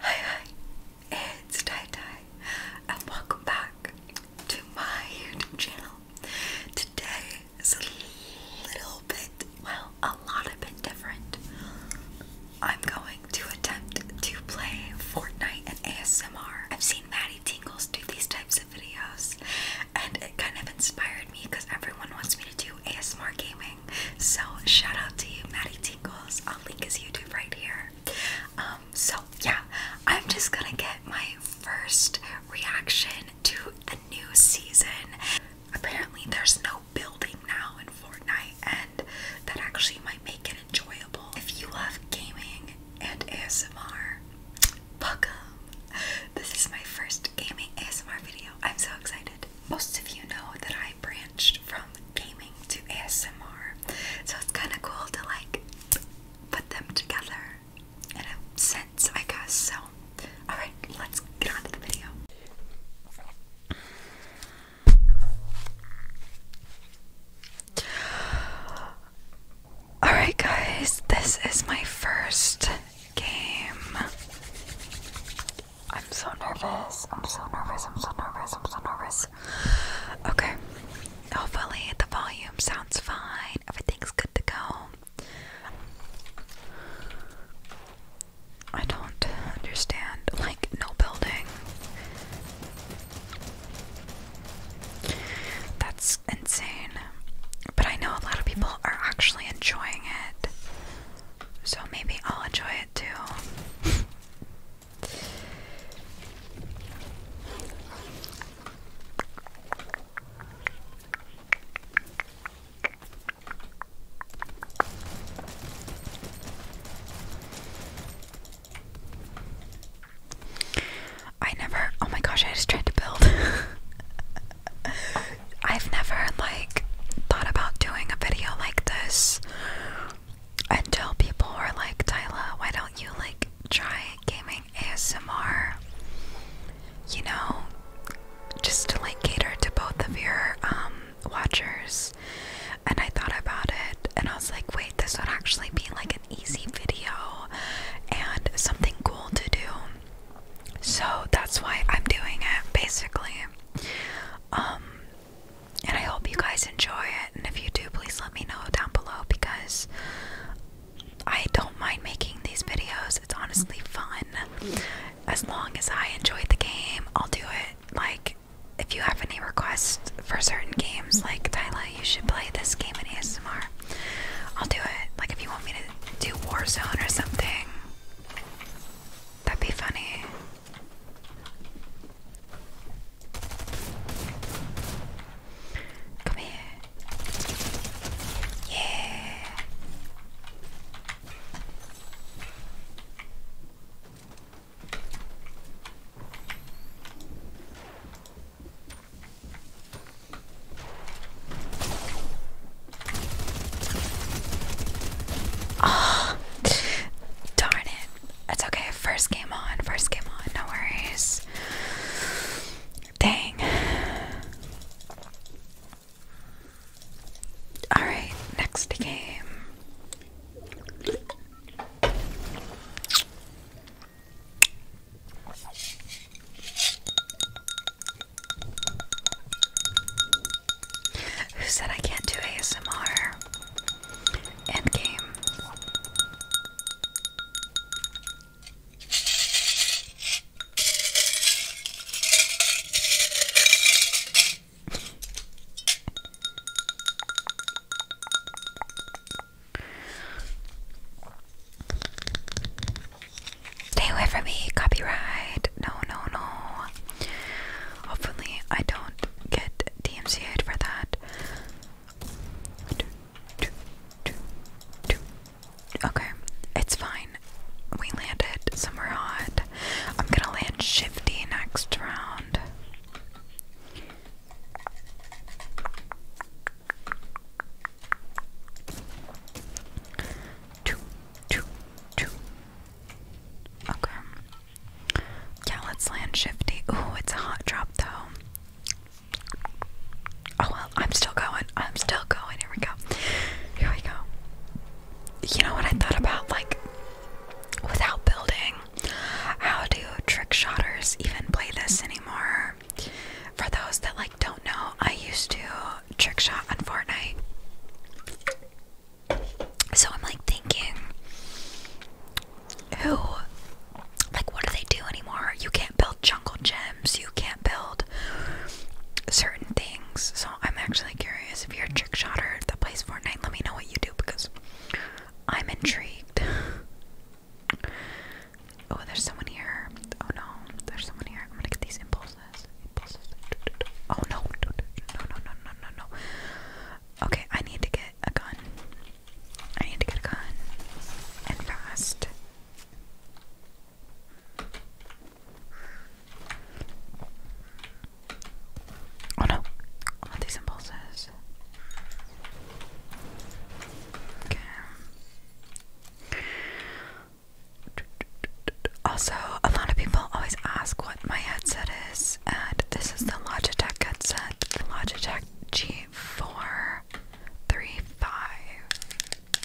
Hi hi, it's Tai Tai and welcome back to my YouTube channel. Today is a little bit, well, a lot of bit different. I'm going to attempt to play Fortnite and ASMR. I've seen Maddie Tingles do these types of videos, and it kind of inspired me because everyone wants me to do ASMR gaming. So, shout out to you, Maddie Tingles. I'll link his YouTube right here. Um, so, yeah, I'm just gonna get my first reaction to the new season. Apparently, there's no building now in Fortnite, and that actually might make it enjoyable. If you love gaming and ASMR, welcome! This is my first gaming ASMR video. I'm so excited. Most of you know that I branched from gaming to ASMR, so it's kind of cool to like put them together in a sense, I guess. So, alright, let's get on to the video. Alright, guys, this is my first game. I'm so nervous. I'm so nervous. I'm so nervous. I'm so nervous. Okay. Hopefully, the volume sounds fine. Everything's good to go. I don't understand. Like, no building. That's insane. But I know a lot of people are actually enjoying it. So maybe I'll enjoy it too. I never. Oh my gosh! I just tried to build. I've never like thought about doing a video like this until people were like, "Tyla, why don't you like try gaming ASMR?" You know, just to like cater to both of your um watchers and I thought about it and I was like, wait, this would actually be like an easy video and something cool to do. So that's why I'm doing it basically. Um, and I hope you guys enjoy it and if you do please let me know down below because I don't mind making these videos. It's honestly fun. As long as I enjoy the game, I'll do it. Like if you have any requests for certain games, like Tyla, you should play this game in ASMR. I'll do it. Like if you want me to do Warzone or something, that'd be funny. Come here. Yeah. Ah, darn it. It's okay. First game on. First game on. No worries. Dang. Alright, next game. Who said I can't do ASMR? Endgame. Stay away from me, copyright. No, no, no. Hopefully, I don't get dmca for that. Okay, it's fine. We landed somewhere hot. I'm gonna land shifty next round. Two, two, two. Okay. Yeah, let's land shifty. Ooh, it's a hot drop though. Oh well, I'm still going. I'm still going. Here we go. Here we go. You know what I thought about? Like, without building. How do trick shotters even play this anymore? For those that like don't know, I used to trick shot on Fortnite. So I'm like thinking, who, like, what do they do anymore? You can't build jungle gems, you can't build certain things. So I'm actually curious if you're Trick Shotter that plays Fortnite, let me know what you do because I'm intrigued. oh, there's someone here. Oh no, there's someone here. I'm gonna get these impulses. Impulses. Oh no. No, no, no, no, no, no. Okay, I need to get a gun. I need to get a gun. And fast. Oh no, I oh, want these impulses. Okay. Also, a lot of people always ask what my headset is, and this is the Logitech headset, the Logitech G435.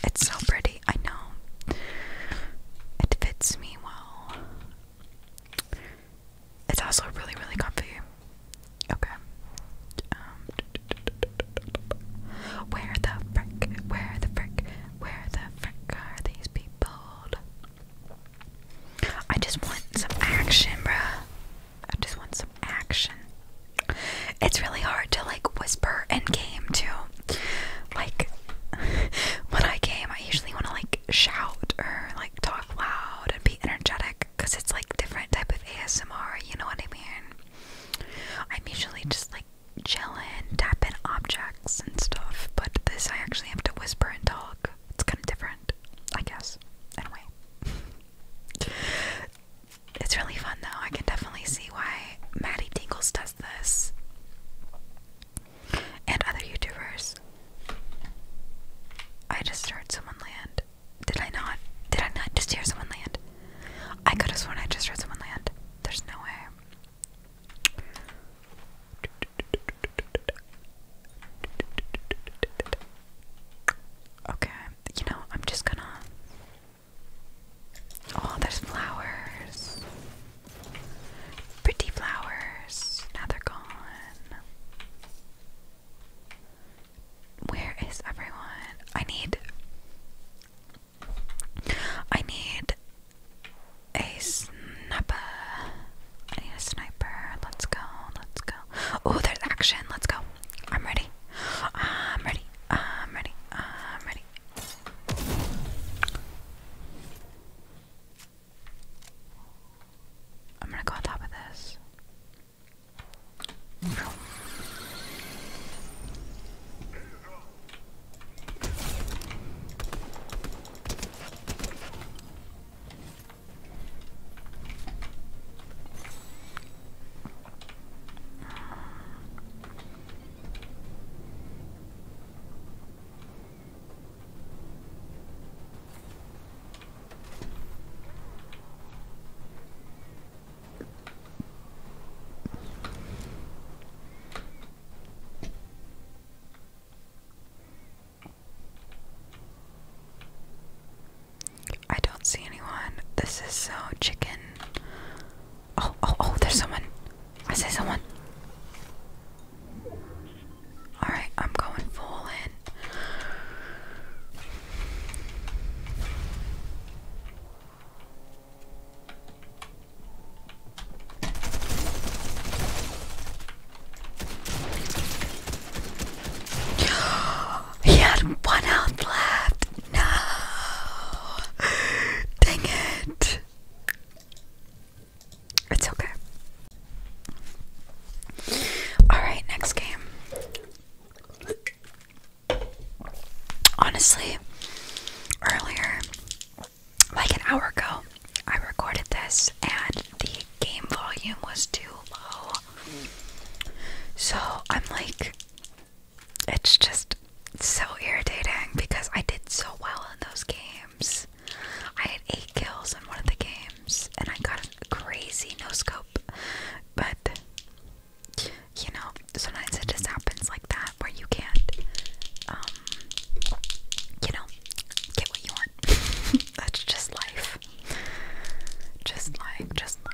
It's so pretty, I know. It fits me well. It's also really, really comfy. Okay. Um, where the frick? Where the frick? Where the frick are these people? I just want some action, bruh. I just want some action. It's really hard to like whisper and game too. Like when I game, I usually want to like shout or like talk loud and be energetic because it's like different type of ASMR, you know what I mean? I'm usually just like chillin', tapping objects and stuff, but this I actually have to whisper and talk. It's kind of different, I guess. Anyway. it's really fun though. I can definitely see why Maddie Tingles does this and other YouTubers. I just heard someone land. Did I not? Did I not just hear someone land? I could have sworn I just heard someone land. There's no way. Okay, you know, I'm just gonna. Oh, there's flowers. Pretty flowers. Now they're gone. Where is everyone? I need. I need a sniper. I need a sniper. Let's go. Let's go. Oh, there's action. Let's go. I'm ready. I'm ready. I'm ready. I'm ready. I'm gonna go on top of this. I don't see anyone. This is so chicken. Oh, oh, oh, there's someone. I see someone. Alright, I'm going full in. he had one health left. No, dang it. It's okay. Alright, next game. Honestly, earlier, like an hour ago, I recorded this and the game volume was too low. So I'm like, it's just so irritating because I did so well in those games. I had eight kills in one of the games, and I got a crazy no scope. But you know, sometimes it just happens like that where you can't, um, you know, get what you want. That's just life. Just life. Just life.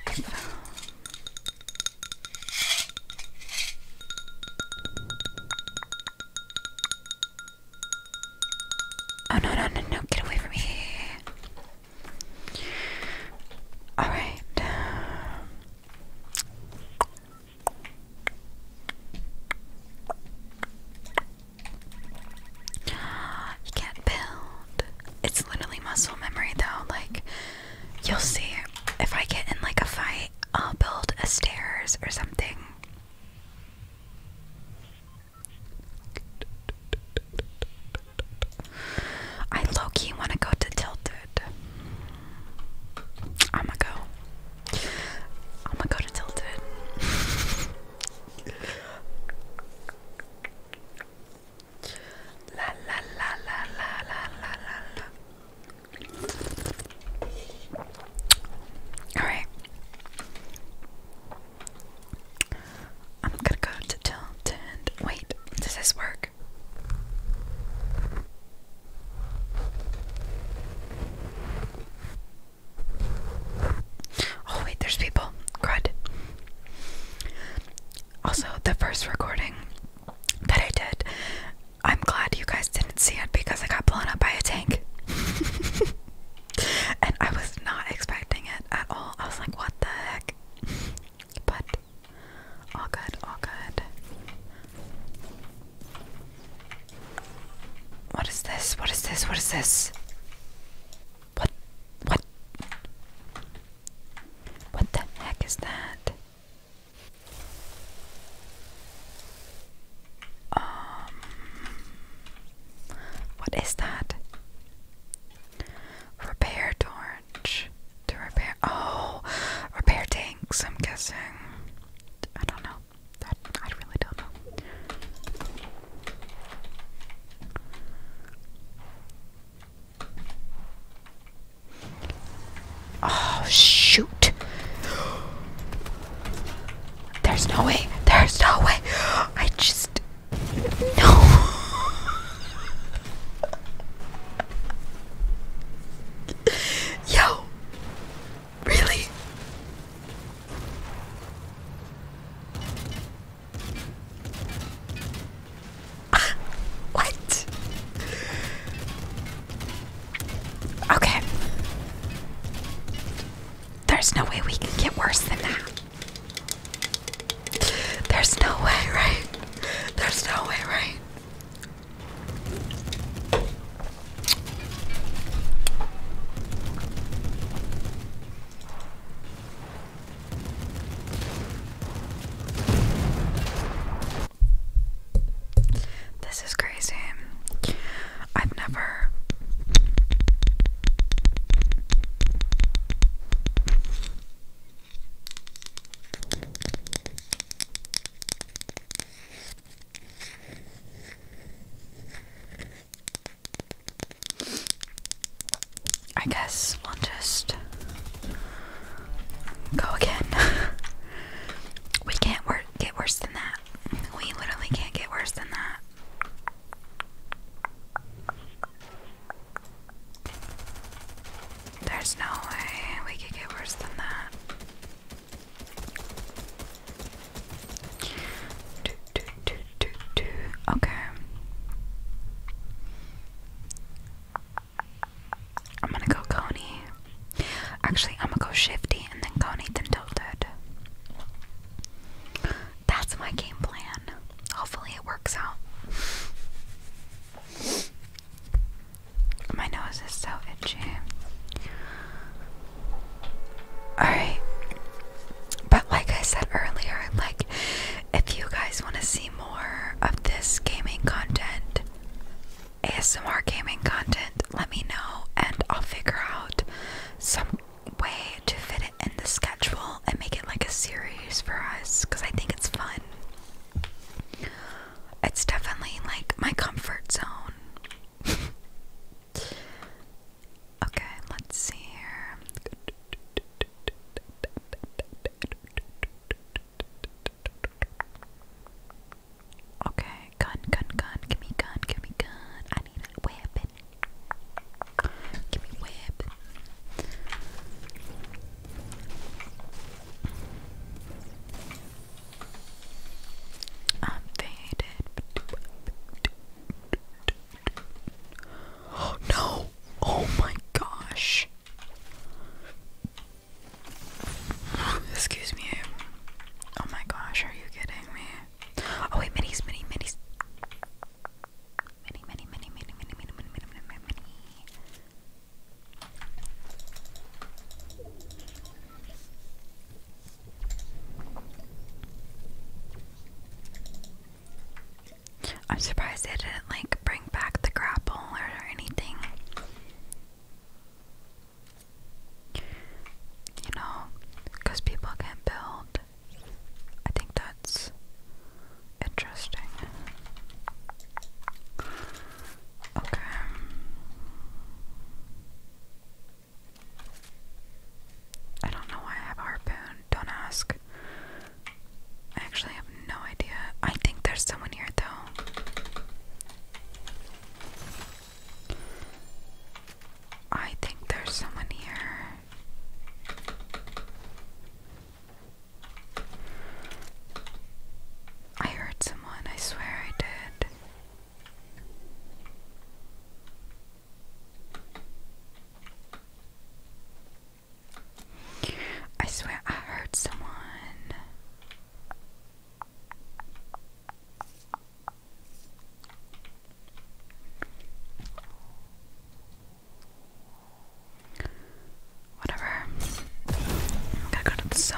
Oh no no no no! Get away from me! All right. Um, you can't build. It's literally muscle memory, though. Like, you'll see if I get in like a fight, I'll build stairs or something. I low want to go to Tilted. I'ma go. I'ma go to Tilted. la la la la la la la la. Alright. I'm gonna go to tilt and wait, does this work? Oh wait, there's people. Crud. Also, the first recording that I did, I'm glad you guys didn't see it because I got blown up by a tank. And I was not expecting it at all. I was like, what the heck? but all good, all good. What is this? What is this? What is this? What? What? What the heck is that? Um. What is that? Repair torch to repair. Oh, repair tanks. I'm guessing. I don't know. I really don't know. Oh shoot! There's no way. There's no way. I just. No. Yo. Really? what? Okay. There's no way we can get worse than that. There's no way, right? There's no way, right? This is crazy. I've never I guess we'll just go again. we can't work get worse than that. We literally can't get worse than that. There's no way we could get worse than that. Okay. I'm gonna go Coney. Actually, I'm gonna go Shifty and then go Nathan Tilted. That's my game plan. Hopefully it works out. My nose is so itchy. Alright. But like I said earlier, like if you guys want to see more of this gaming content, ASMR gaming content, let me know and I'll figure out some way to fit it in the schedule and make it like a series for us because I think it's fun. It's definitely like my comfort zone. okay, let's see here. Okay, gun, gun, gun, give me gun, give me gun. Give me a I'm faded. Oh no! Oh my gosh! Excuse me. Oh my gosh, are you kidding me? Oh wait, minis, mini, minis. Mini, mini, mini, mini, mini, mini, mini, mini, mini, mini. I'm surprised they didn't like bring back the grapple or anything. You know, because people can build I think that's interesting. Okay. I don't know why I have harpoon. Don't ask. I actually have no idea. I think there's someone here though. I think there's someone here. I heard someone, I swear I did. I swear I heard someone. Whatever. I'm to go to the zone.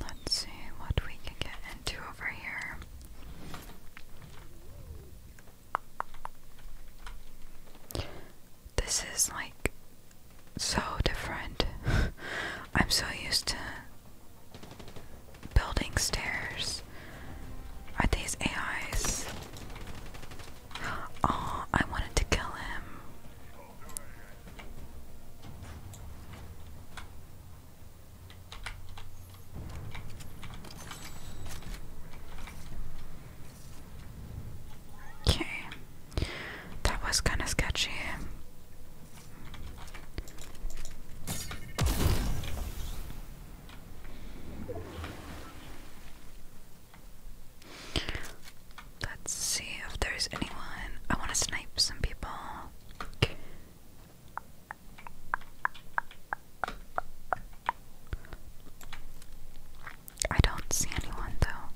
let's see what we can get into over here. This is like so different. I'm so used to building stairs. Are these AIs? Oh, I wanted to kill him. Okay. That was kind of sketchy. Let's see if there's anyone. I want to snipe some people. I don't see anyone though.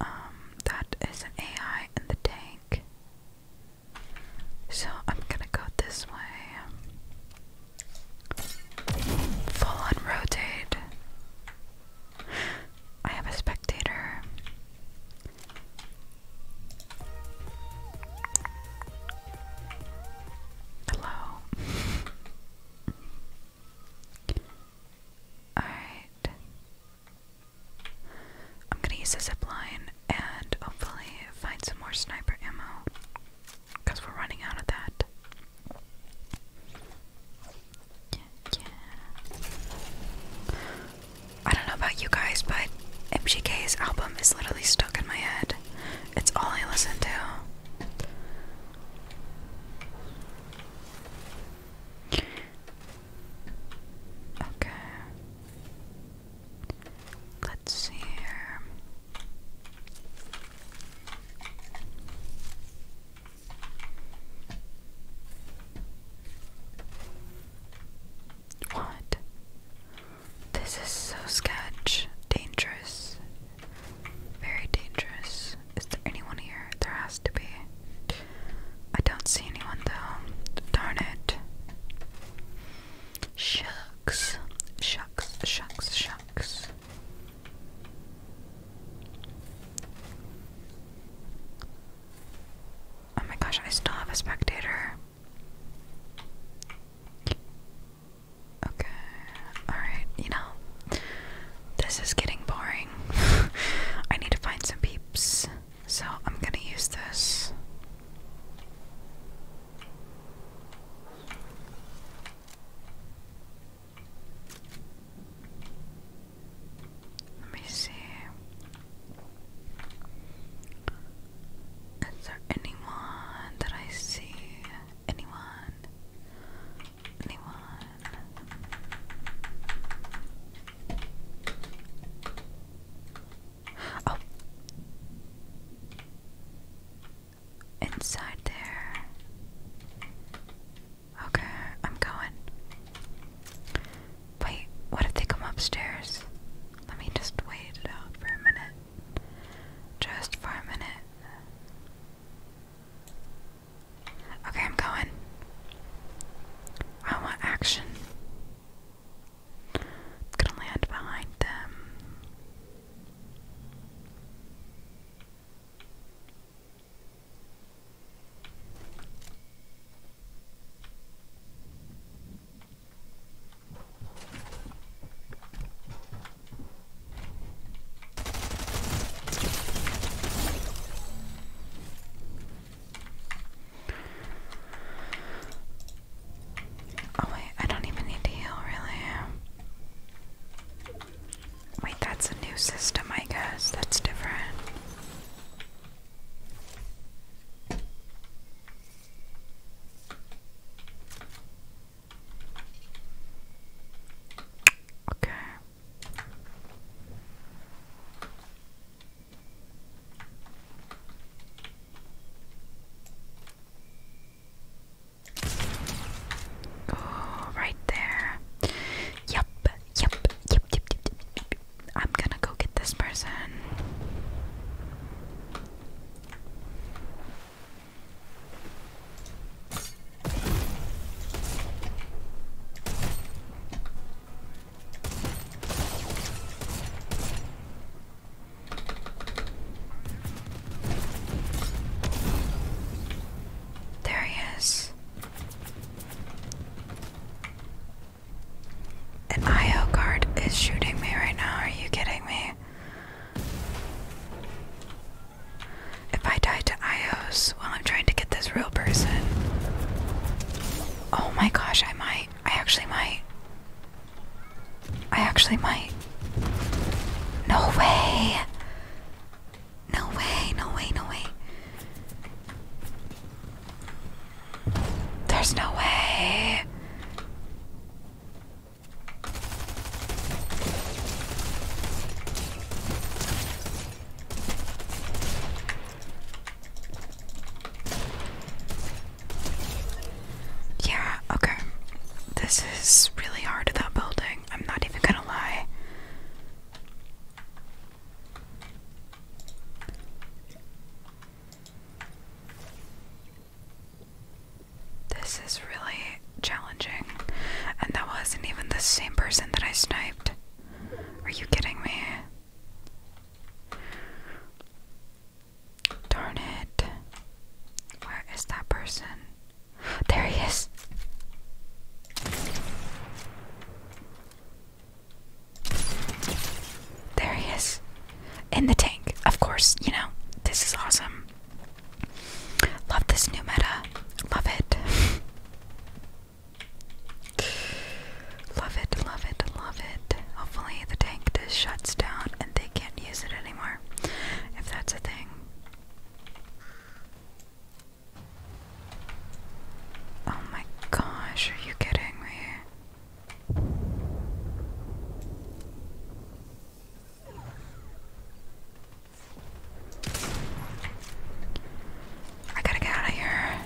Um, that is an AI in the tank. So I'm gonna go this way. Full on rotate. I have a spectator. Hello. Alright. I'm gonna use a zipline and hopefully find some more sniper ammo because we're running out of that. Yeah, I don't know about you guys, but MGK's album is literally stuck in my head. It's all I listen to. Okay. Let's see here. What? This is so sketch. Dangerous. Very dangerous. Is there anyone here? There has to be. I don't see anyone though. Darn it. Shucks. Shucks, shucks, shucks. Oh my gosh, I still have a spectator. Okay, alright, you know, this is getting boring. I need to find some peeps, so I'm gonna use this. Let me see. Is there anyone that I see? Anyone? Anyone? Oh inside there. Okay, I'm going. Wait, what if they come upstairs? Let me just wait it out for a minute. Just for a minute. Okay, I'm going. I want action. I'm gonna land behind them. Oh wait, I don't even need to heal really. Wait, that's a new system, I guess. That's different. Okay. Oh, right there. Yep, yep, yep, yep, yep, yep, yep. I'm gonna go get this person. There he is. An IO guard is shooting me right now. Are you kidding me? If I die to IOs while I'm trying to get this real person. Oh my gosh, I might. I actually might. I actually might. No way. No way, no way, no way. There's no way. Yeah, okay. This is really hard, that building. I'm not even gonna lie. This is really challenging. And that wasn't even the same person that I sniped. Are you kidding me? Darn it. Where is that person? There he is. There he is. In the tank. Of course, you know, this is awesome. Love this new meta. Love it. love it, love it, love it. Hopefully, the tank just shuts down and they can't use it anymore. If that's a thing. Oh my gosh, are you kidding me? I gotta get out of here.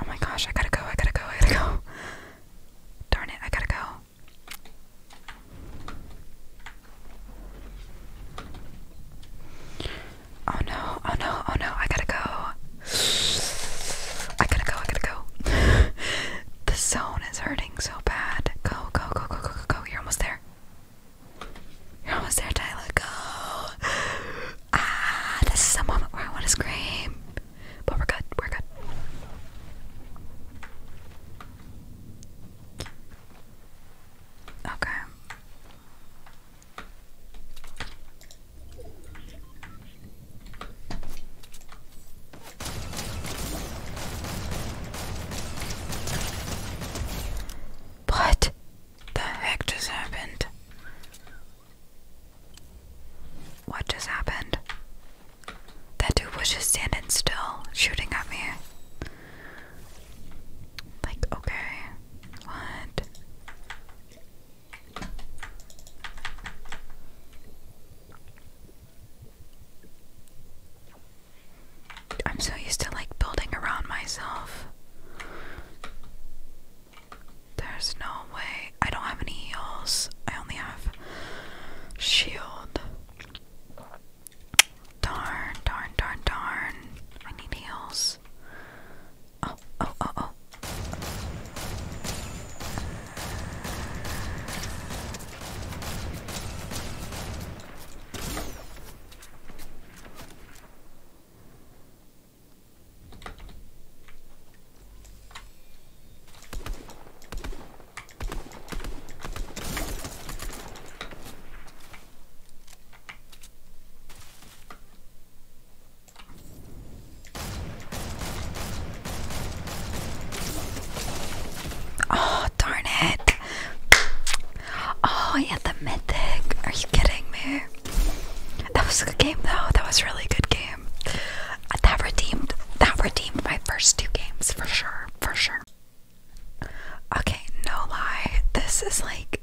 Oh my gosh, I gotta go, I gotta go, I gotta go. Darn it, I gotta go. Oh no, oh no, oh no, I gotta go. I gotta go, I gotta go. the zone is hurting so bad. Go, go, go, go, go, go, go. You're almost there. You're almost there, Tyler. Go. Ah, this is a moment where I want to scream. But we're good, we're good. Okay. What the heck just happened? What just happened? That dude was just standing still, shooting at me. Like, okay, what? I'm so used to like building around myself. There's no way. I don't have any heals. I only have shield. Darn, darn, darn, darn. I need heals. Oh, oh, oh, oh. Oh, darn it. Oh, yeah, the mythic. Are you kidding me? That was a good game though. That was a really good game. That redeemed that redeemed my first two games for sure. For sure. Okay, no lie, this is like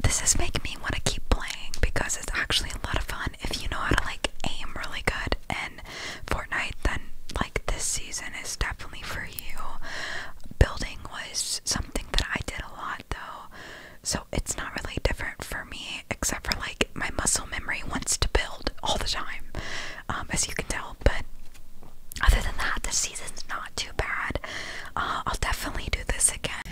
this is making me want to keep playing because it's actually a lot of fun if you know how to like aim really good And Fortnite then like this season is definitely for you. Building was something that I did a lot though. So it's not really different for me except for like my muscle memory wants to build all the time. Um, as you can tell. But other than that, the season's not too bad. Uh, I'll definitely do this again.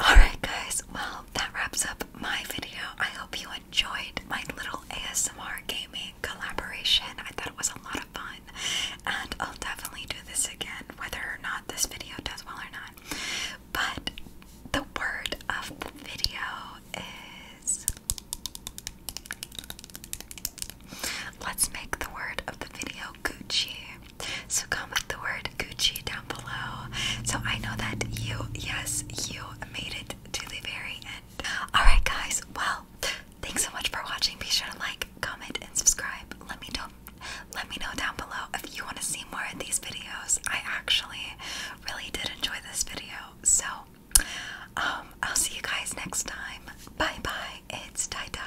Alright, guys, well, that wraps up my video. I hope you enjoyed my little ASMR gaming collaboration. I thought it was a lot of fun, and I'll definitely do this again, whether or not this video does well or not. But the word of the video let's make the word of the video Gucci. So comment the word Gucci down below. So I know that you, yes, you made it to the very end. Alright, guys, well, thanks so much for watching. Be sure to like, comment, and subscribe. Let me know let me know down below if you want to see more of these videos. I actually really did enjoy this video. So um, I'll see you guys next time. Bye bye. It's tie dye.